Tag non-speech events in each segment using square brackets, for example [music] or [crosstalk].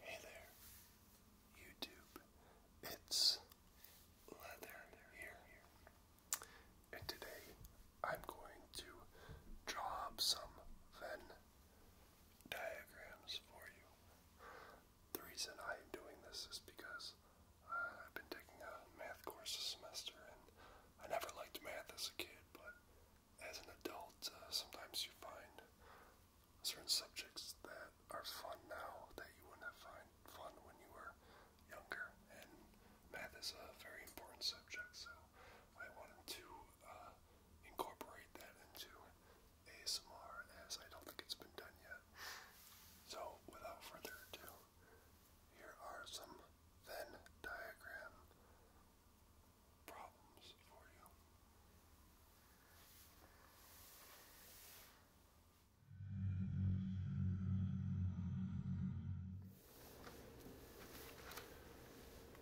Hey there, YouTube. It's Leather here and today I'm going to draw some Venn diagrams for you. The reason I am doing this is because uh, I've been taking a math course this semester and I never liked math as a kid, but as an adult, uh, sometimes you find certain subjects that are fun now that you wouldn't have find fun when you were younger math is a very important subject, so I wanted to uh, incorporate that into ASMR as I don't think it's been done yet. So, without further ado, here are some Venn diagram problems for you.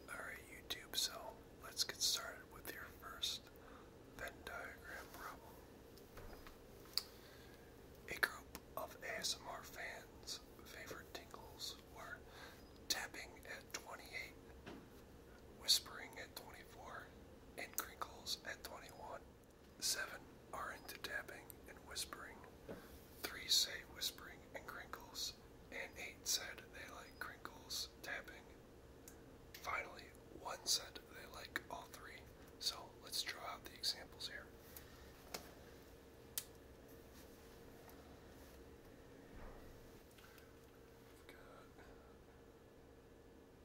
Alright, YouTube, so let's get started with your first Venn diagram problem. A group of ASMR fans' favorite tingles were tapping at 28, whispering at 24, and crinkles at 21. Seven are into tapping and whispering. Three say whispering and crinkles, and eight said they like crinkles, tapping. Finally, one said they like all three. So let's draw out the examples here.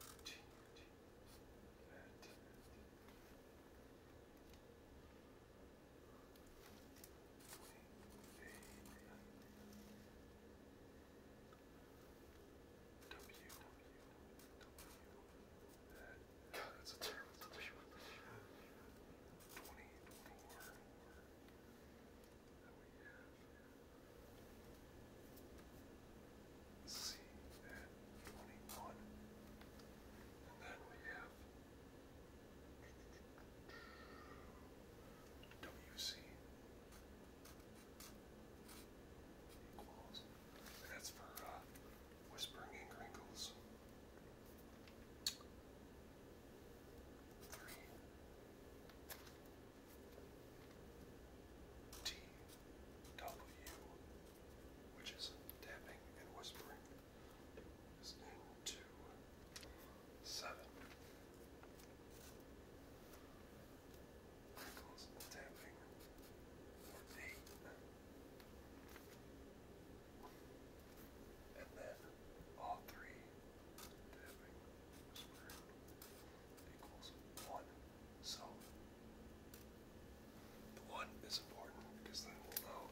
i that's a terrible W. Twenty four that we have. C 21. And then we have WC equals, that's for whispering ink wrinkles. Three T W which is tapping and whispering, is into seven. Crinkles and eight. And then all three tapping whispering equals one. The one is important because then we'll know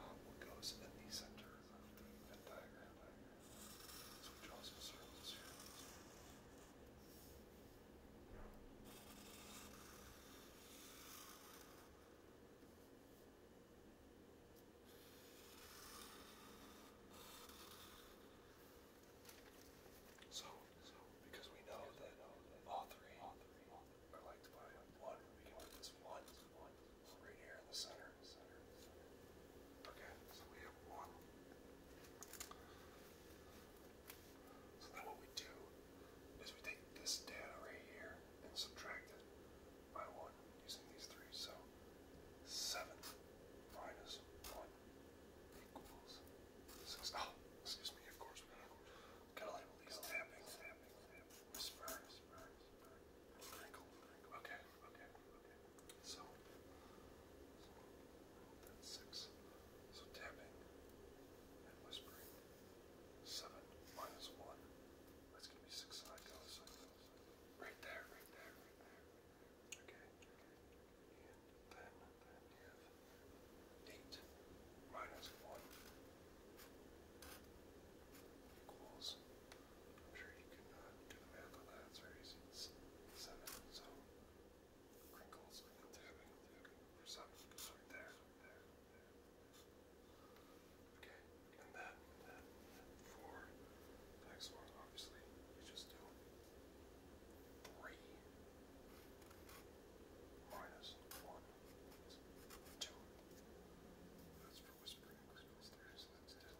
uh, what goes in the center of the Venn diagram. So because we know that all three are liked by one. We can put this one right here in the center. Okay, so we have one. So then what we do is we take this data right here and subtract it by one using these three. So seven minus one equals. 2. Six, oh, excuse me, of course. We're gonna, gotta label these tapping, tapping, tapping, whisper, whisper, whisper, crinkle, crinkle. Okay, okay, okay. So, so that's six. So tapping and whispering. Seven minus one. That's gonna be six sides. Right there, right there, right there. Okay and then, then you have 8 minus 1 equals, I'm sure you can uh, do the math on that, it's very easy, it's 7, so crinkles and tapping, tapping for 7, so right there, there, there. Okay, and then, and then for the next one, obviously, you just do 3 minus 1 2. That's for whispering crystals there,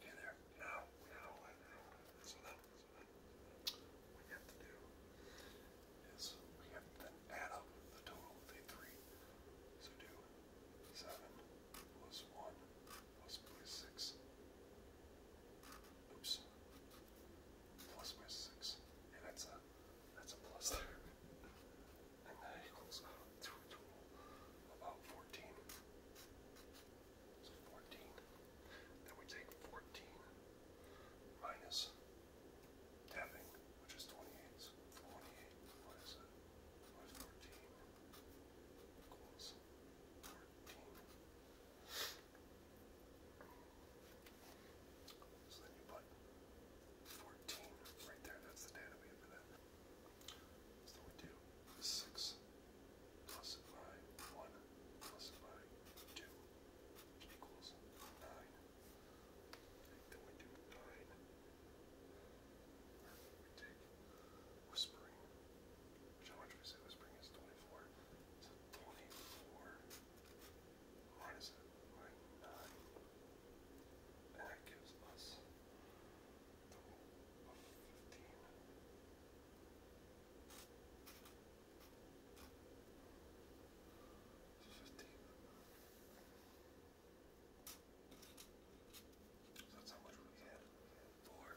Okay, there. Now, now, now. So then, what we have to do is we have to add up the total of the three. So do 7 plus 1 plus 6. Oops six. And that's a that's a plus there. [laughs] and that equals uh, to about fourteen. So fourteen. Then we take fourteen minus tapping, which is twenty-eight. twenty-eight minus, uh, minus fourteen equals 40. So then you put 14 right there. That's the data we have for that. So we do 6 plus by 1 plus by 2 equals 9. Then we do 9. We take whispering which how much we say Whispering is 24. So 24 minus 9. And that gives us 15. 15. that's how much we had. four,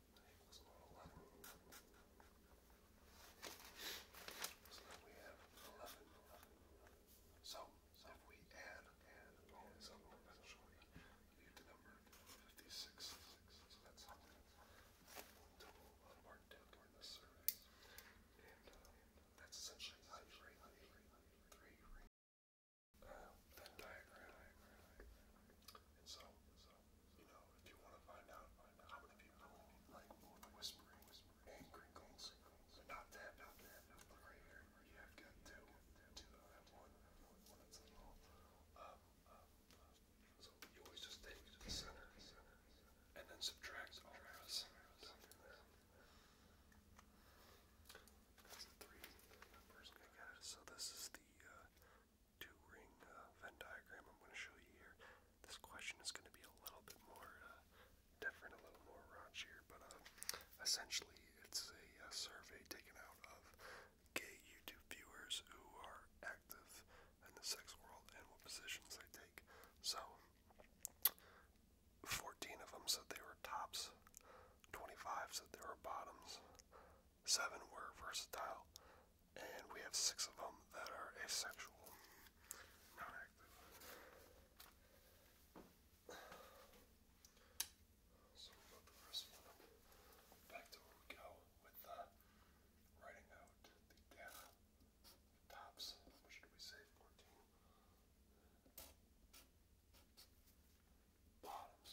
So now we have 11, 11, 11. So, so if we add, add all these up eventually, we get the number 56. Six. So that's how many total of our debt during this survey. And uh, that's essentially how you rate the three, three. Uh, that diagram. And so, so you know, if you want to find out, how many people like whispering, whispering, and crinkles. But not that, not that, right here. You have got two, two, I that's a um, um, so you always just take the center, and then subtract all the rest down from three numbers I got it. So this is the uh, two ring Venn diagram I'm going to show you here. This question is going to be a little bit more uh, different, a little more raunchier, but um, essentially it's a, a survey taken out of gay YouTube viewers who are active in the sex world and what positions they take. So, 14 of them said they were tops, 25 said they were bottoms, seven were versatile, and we have six of them that are asexual, So we got the first one back to where we go with writing out the tops, which we say? 14. Bottoms.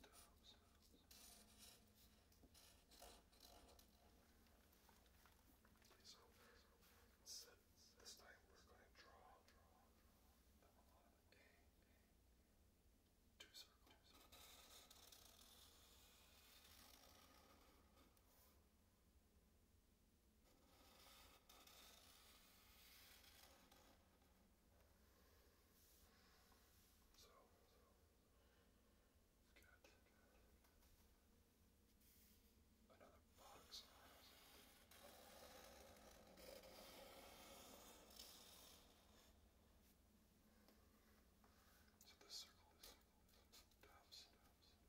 Okay, so so this time we're going to draw a two circles. So, get another box. So this circle is down, circle here.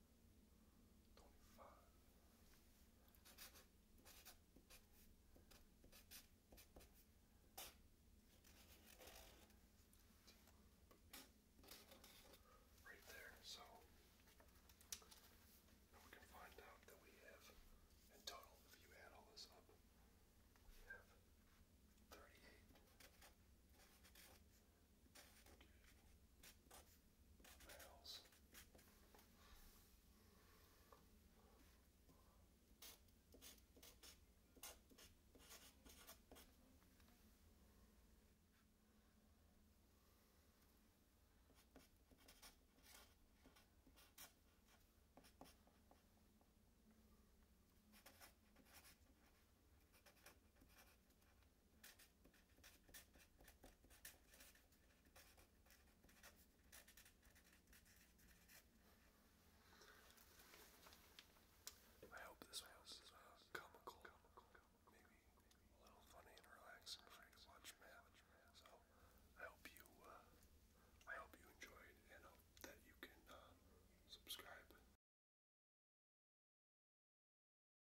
Right there, so now we can find out that we have, in total, if you add all this up, we have 38 barrels. I hope this was uh, comical, comical, maybe a little funny and relaxing for you to watch match. So I hope you, uh, I hope you enjoyed, and that you can uh, subscribe.